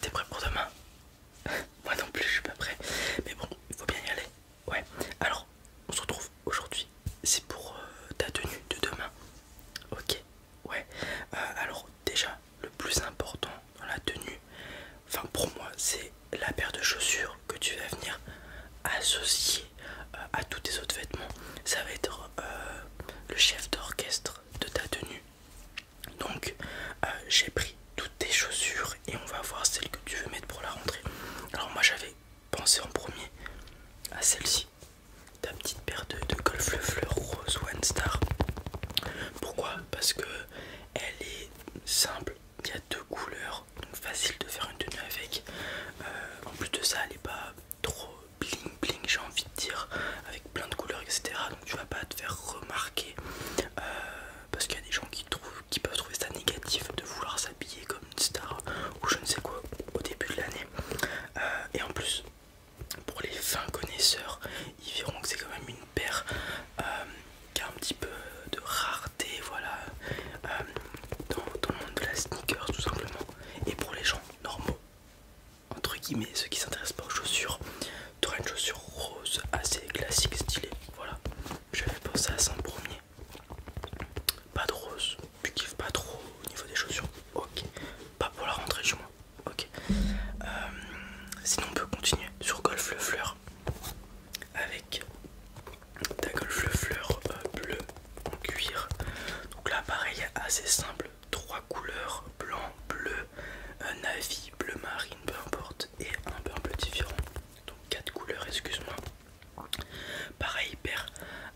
T'es prêt pour demain Moi non plus, je suis pas prêt. Mais bon, il faut bien y aller. Ouais. Alors, on se retrouve aujourd'hui. C'est pour euh, ta tenue de demain. Ok. Ouais. Euh, alors déjà, le plus important dans la tenue, enfin pour moi, c'est la paire de chaussures que tu vas venir associer euh, à tous tes autres vêtements. Ça va être le chef d'orchestre de ta tenue. Donc euh, j'ai pris toutes tes chaussures et on va voir celle que tu veux mettre pour la rentrée. Alors moi j'avais pensé en premier à celle-ci, ta petite paire de, de golf le fleur rose One Star. Pourquoi Parce que elle est simple, il y a deux couleurs, donc facile de faire une tenue avec. Euh, en plus de ça, elle n'est pas trop bling bling j'ai envie de dire avec plein de couleurs etc donc tu vas pas te faire remarquer euh, parce qu'il y a des gens qui, trouvent, qui peuvent trouver ça négatif de vouloir s'habiller comme une star ou je ne sais quoi au début de l'année euh, et en plus pour les fins connaisseurs ils verront que c'est quand même une paire euh, qui a un petit peu de rareté voilà dans, le monde de la sneakers tout simplement et pour les gens normaux entre guillemets ceux qui s'intéressent pas aux chaussures auras une chaussure rose assez classique stylée voilà j'avais pensé à ça premier pas de rose tu kiffes pas trop au niveau des chaussures ok pas pour la rentrée chez moi ok euh, sinon on peut continuer sur golf le fleur avec ta golf le fleur euh, bleue en cuir donc là pareil assez simple 3 trois couleurs, blanc, bleu, navy, bleu marine, peu importe, et un peu un différent. Donc quatre couleurs, excuse-moi. Pareil, hyper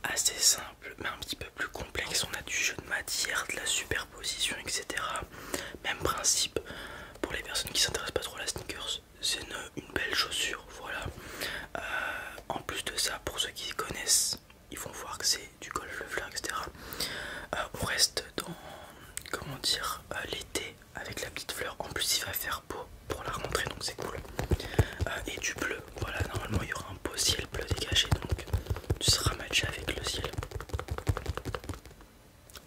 assez simple, mais un petit peu plus complexe. On a du jeu de matière, de la superposition, etc. Même principe pour les personnes qui s'intéressent pas trop à la sneakers, c'est une, belle chaussure. Voilà. Euh, en plus de ça, pour ceux qui connaissent ils vont voir que c'est du golf, le fleur, etc. Euh, on reste dans, comment dire, euh, l'été avec la petite fleur. En plus, il va faire beau pour la rentrée, donc c'est cool. Euh, et du bleu, voilà, normalement il y aura un beau ciel bleu dégagé, donc tu seras matché avec le ciel.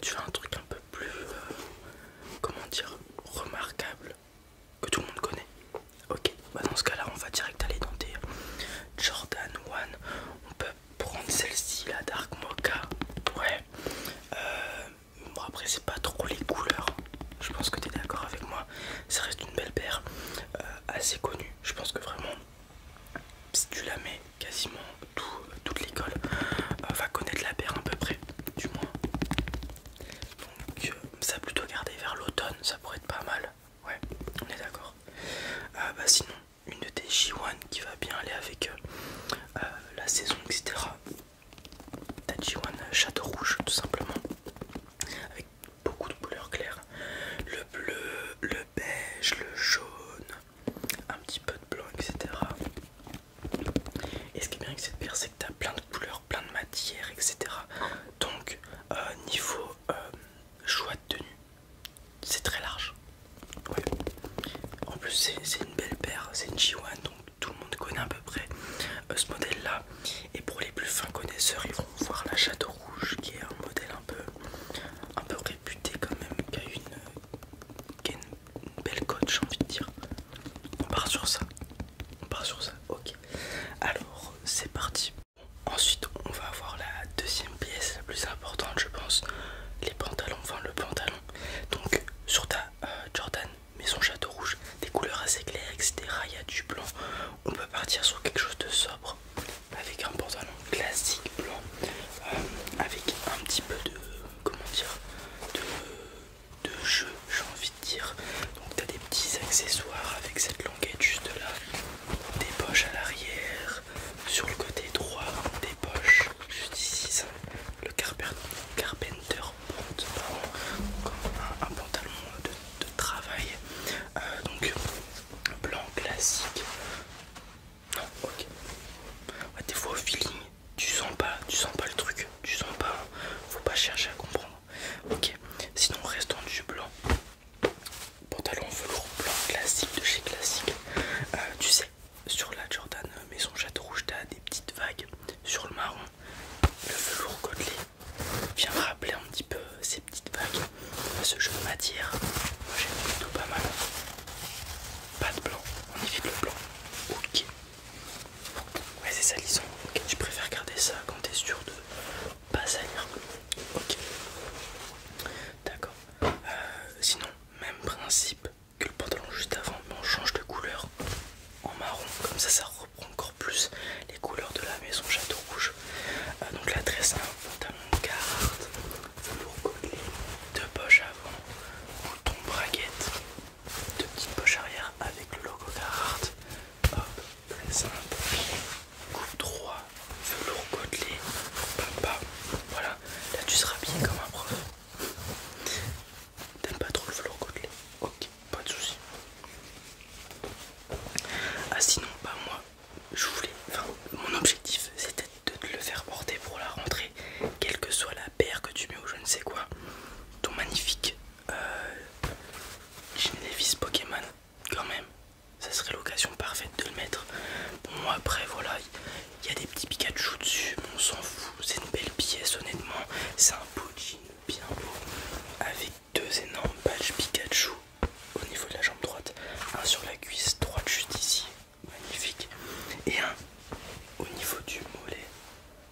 Tu as un truc un peu plus, comment dire, remarquable que tout le monde connaît. Ok, bah, dans ce cas-là, on va direct aller dans des Jordan One on peut prendre celle-ci, la Dark Mocha. Ouais. Euh, bon après c'est pas trop les couleurs. Je pense que tu d'accord avec moi. Ça reste une belle paire euh, assez connue. Je pense que vraiment si tu la mets quasiment toute l'école euh, va connaître la paire à peu près du moins. Donc ça plutôt gardé vers l'automne, ça pourrait être pas mal. Ouais, on est d'accord. Euh, bah, sinon, une de tes 1 qui va bien aller avec euh, euh, la saison, etc. Ta G1 Château Rouge, tout simplement. Avec beaucoup de couleurs claires. Le bleu, le beige, le jaune, un petit peu de blanc, etc. Et ce qui est bien avec cette paire, c'est que tu as plein de couleurs, plein de matières, etc. Donc, niveau choix de tenue, c'est très large. Oui. En plus, c'est une belle paire, c'est une G1, donc tout le monde connaît à peu près euh, ce modèle-là. Et pour les plus fins connaisseurs, ils vont voir la Château Rouge, qui est un modèle un peu, un peu réputé quand même, qui a une, belle cote, j'ai envie de dire. On part sur ça. On part sur ça. Ok. Alors, c'est parti Ensuite, on va avoir la deuxième pièce la plus importante, je pense, les pantalons, enfin le pantalon. Donc, sur ta euh, Jordan, mais son château rouge, des couleurs assez claires, etc. Il y a du blanc. On peut partir sur quelque chose de sobre avec un pantalon classique blanc, euh, avec un petit peu de comment dire de, jeu, j'ai envie de dire. Donc, tu as des petits accessoires avec cette lampe Ok, juste là. Des poches à l'arrière, sur le côté droit, des poches juste ici, ça, le carpenter pantalon, euh, un, pantalon de, travail, euh, donc blanc classique. Non, ok. des fois au feeling, tu sens pas, tu sens pas le truc, tu sens pas, faut pas chercher à comprendre. Ok, sinon restons du blanc, pantalon velours blanc classique de chez classique euh, tu sais sur la Jordan maison château rouge t'as des petites vagues sur le marron le velours côtelé vient rappeler un petit peu ces petites vagues ce jeu matière, moi j'aime plutôt pas mal pas de blanc on évite le blanc ok ouais c'est salissant ok je préfère garder ça quand t'es sûr de pas salir Ok. D'accord. Euh, sinon, même principe que le pantalon juste avant, mais on change de couleur en marron. Comme ça, ça reprend encore plus les couleurs de la maison Château Rouge. Euh, donc la tresse, un pantalon carte, pour coller, deux poches avant, ton braguette, deux petites poches arrière avec le logo Carhartt. Hop, très simple. Coupe droit, velours côtelé, Voilà, là tu seras bien comme un prof. T'aimes pas trop le velours côtelé Ok, pas de soucis. Ah sinon, bah moi, je voulais, enfin, mon objectif c'était de te le faire porter pour la rentrée, quelle que soit la paire que tu mets ou je ne sais quoi. Ton magnifique euh, Pokémon quand même ça serait l'occasion parfaite de le mettre bon après voilà il y a des petits Pikachu dessus on s'en fout c'est une belle pièce honnêtement c'est un beau jean bien beau avec deux énormes badges Pikachu au niveau de la jambe droite un sur la cuisse droite juste ici magnifique et un au niveau du mollet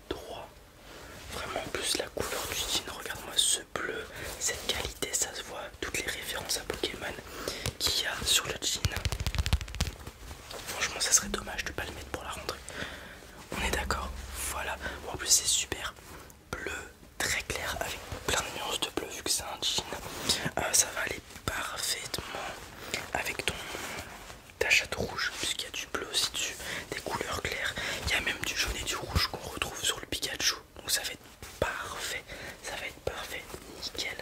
droit vraiment plus la couleur du jean regarde moi ce bleu, cette qualité, ça se voit, toutes les références à Pokémon qu'il y a sur le jean. Franchement, ça serait dommage de pas le mettre pour la rentrée. On est d'accord, voilà. En plus, c'est super bleu, très clair, avec plein de nuances de bleu, vu que c'est un jean. Euh, ça va aller parfaitement avec ton ta rouge, puisqu'il y a du bleu aussi dessus, des couleurs claires. Il y a même du jaune et du rouge qu'on retrouve sur le Pikachu donc ça va être parfait, ça va être parfait, nickel,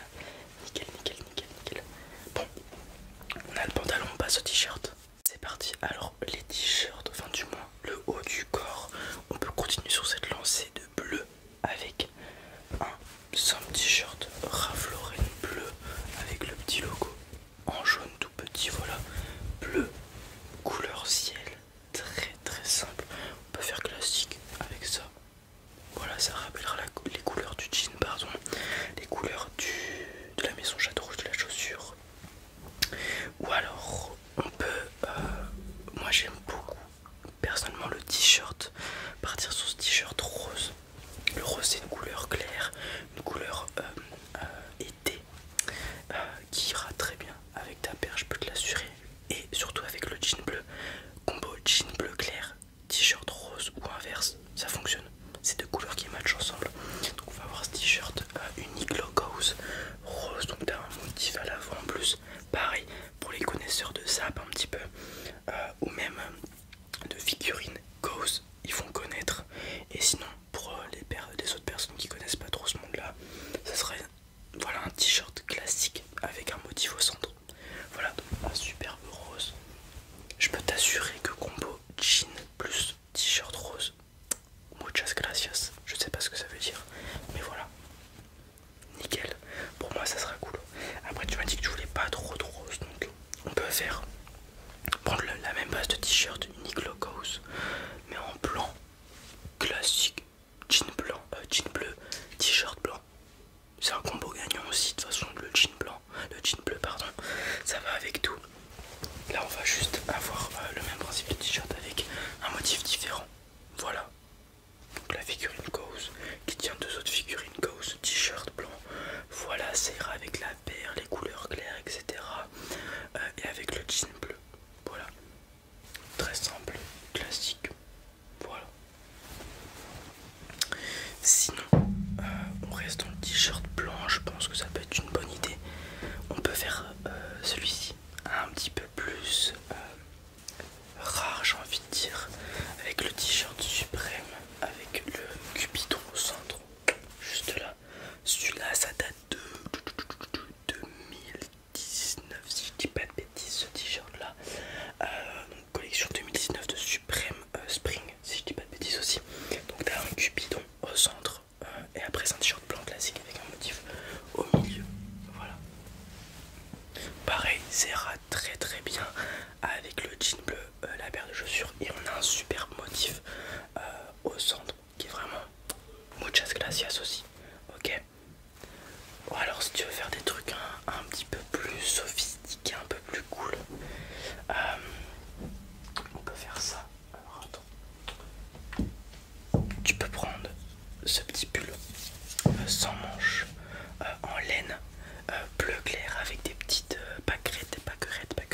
nickel, nickel, nickel, nickel. Bon, on a le pantalon, on passe au t-shirt. C'est parti, alors les t-shirts, enfin du moins le haut du corps, on peut continuer sur cette lancée de bleu avec un simple t-shirt rafloré bleu avec le petit logo en jaune tout petit, voilà, bleu, couleur ciel, très très simple. On peut faire classique avec ça. Voilà, ça rappellera les couleurs du jean, pardon, les couleurs du, de la maison château rouge de la chaussure. Ou alors, on peut, euh, moi j'aime beaucoup personnellement le t-shirt, partir sur ce t-shirt rose. Le rose c'est une couleur claire, une couleur euh, euh, euh, qui ira très bien avec ta paire, je peux te l'assurer. Et surtout avec le jean bleu, combo jean bleu clair, t-shirt rose ou inverse, ça fonctionne. C'est deux couleurs qui matchent ensemble. Donc on va avoir ce t-shirt euh, unique unique Logos rose, donc t'as un motif à l'avant en plus. Pareil pour les connaisseurs de zap un petit peu, euh, ou même de figurines Ghost, ils vont connaître. Et sinon pour euh, les, autres personnes qui connaissent pas trop ce monde là ça serait voilà un t-shirt classique avec un motif au centre voilà un superbe rose je peux t'assurer que combo jean plus t-shirt rose muchas gracias je sais pas ce que ça veut dire mais voilà nickel pour moi ça sera cool après tu m'as dit que tu voulais pas trop de rose donc on peut faire prendre la même base de t-shirt unique glucose, mais en blanc classique jean blanc, euh, jean bleu, t-shirt blanc. C'est un combo gagnant aussi de toute façon le jean blanc, le jean bleu pardon, ça va avec tout. Là on va juste avoir euh, le même principe de t-shirt avec un motif différent. Voilà. la figurine Ghost qui tient deux autres figurines Ghost, t-shirt blanc. Voilà, ça ira avec la paire, les couleurs claires, etc. Euh, et avec le jean bleu. Voilà. Très simple, classique. Voilà. Sinon, euh, on reste dans le t-shirt blanc. Je pense que ça peut être une bonne idée. On peut faire euh, celui-ci un petit peu plus euh, rare, j'ai envie de dire, avec le t-shirt suprême, avec le cupidon au centre, juste là. Celui-là, ça date de 2019 si je dis pas de bêtises ce t-shirt là donc, collection 2019 de Supreme Spring si je dis pas de bêtises aussi donc as un cupidon au centre et après c'est un t-shirt blanc classique avec un motif au milieu voilà pareil serra très très bien avec le jean bleu la paire de chaussures et on a un super motif au centre qui est vraiment muchas gracias aussi. Ok. alors si tu veux faire des trucs un, petit peu plus sophistiqués, un peu plus cool, euh, on peut faire ça. Alors attends. Tu peux prendre ce petit pull euh, sans manches euh, en laine bleu clair avec des petites baguettes, pâquerettes, des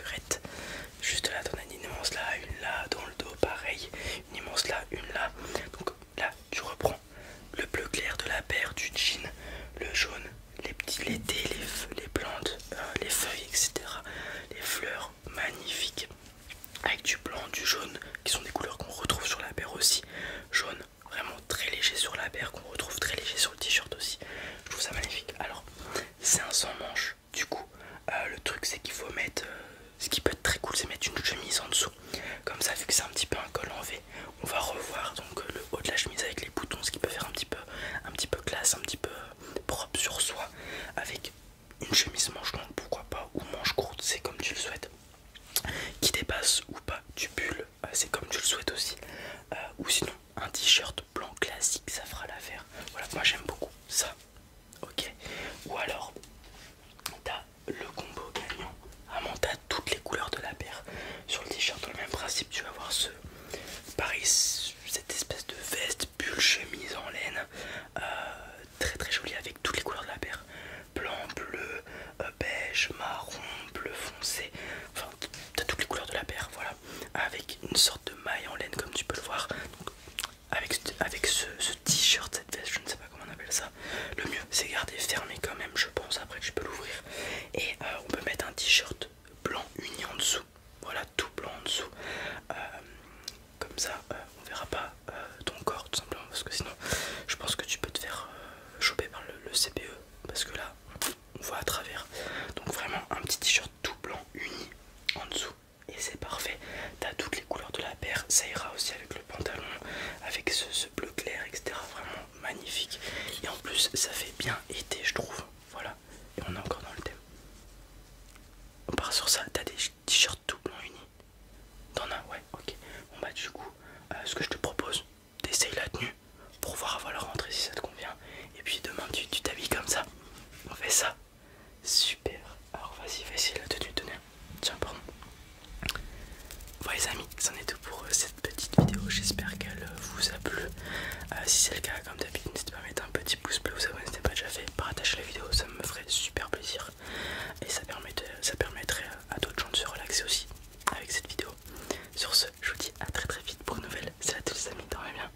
Juste là, t'en as une immense là, une là, dans le dos, pareil. Une immense là, une là. Donc là, tu reprends le bleu clair de la paire, du jean, le jaune, les petits, les dés, les plantes, euh, les feuilles, etc. Les fleurs magnifiques. Avec du blanc, du jaune, qui sont des couleurs qu'on retrouve sur la paire aussi. Jaune, vraiment très léger sur la paire, qu'on retrouve très léger sur le t-shirt aussi. Je trouve ça magnifique. Alors, c'est un sans manche du coup, euh, le truc c'est qu'il faut mettre, euh, ce qui peut être très cool, c'est mettre une chemise en dessous. Comme ça, vu que c'est un petit peu un col en V, on va revoir donc euh, le haut de la chemise avec les boutons, ce qui peut faire un petit peu, un petit peu classe, un petit peu propre sur soi, avec une chemise manche longue, pourquoi pas, ou manche courte, c'est comme tu le souhaites, qui dépasse ou pas du pull, c'est comme tu le souhaites aussi, ou sinon un t-shirt blanc classique, ça fera l'affaire. Voilà, moi j'aime beaucoup ça ok ou alors t'as le combo gagnant à monter toutes les couleurs de la paire sur le t-shirt dans le même principe tu vas voir ce Paris, cette espèce de veste bulle, chemise en laine euh, très très jolie avec toutes les couleurs de la paire blanc bleu euh, beige marron bleu foncé enfin t'as toutes les couleurs de la paire voilà avec une sorte de maille en laine comme tu peux le voir avec, ce, t-shirt, cette veste, je ne sais pas comment on appelle ça, le mieux c'est garder fermé quand même, je pense. Après, tu peux l'ouvrir et euh, on peut mettre un t-shirt blanc uni en dessous, voilà tout blanc en dessous. Euh, comme ça, euh, on verra pas ton corps tout simplement parce que sinon, je pense que tu peux te faire choper par le CPE e, parce que là on voit à travers donc vraiment un petit t-shirt tout blanc uni en dessous et c'est parfait. T'as toutes les couleurs de la paire, ça ira aussi avec le pantalon, avec ce, bleu clair, etc. Vraiment magnifique. Et en plus, ça fait bien été, je trouve. Voilà. Et on est encore dans le thème. On part sur ça. T'as des t-shirts tout blanc unis. T'en as Ouais, ok. Bon bah du coup, euh, ce que je te propose, t'essayes la tenue pour voir avant la rentrée si ça te convient. Et puis demain, tu t'habilles comme ça. On fait ça. Super. Alors vas-y, vas y la de te Tiens, pardon. Voilà les amis, c'en est tout pour euh, cette petite vidéo. J'espère qu'elle euh, vous a plu. Euh, si c'est le cas, comme d'habitude, n'hésitez pas à mettre un petit pouce bleu, vous si ce n'est pas déjà fait. Partagez la vidéo, ça me ferait super plaisir. Et ça, permettrait à d'autres gens de se relaxer aussi avec cette vidéo. Sur ce, je vous dis à très très vite pour une nouvelle. C'est à tous les amis, dormez bien.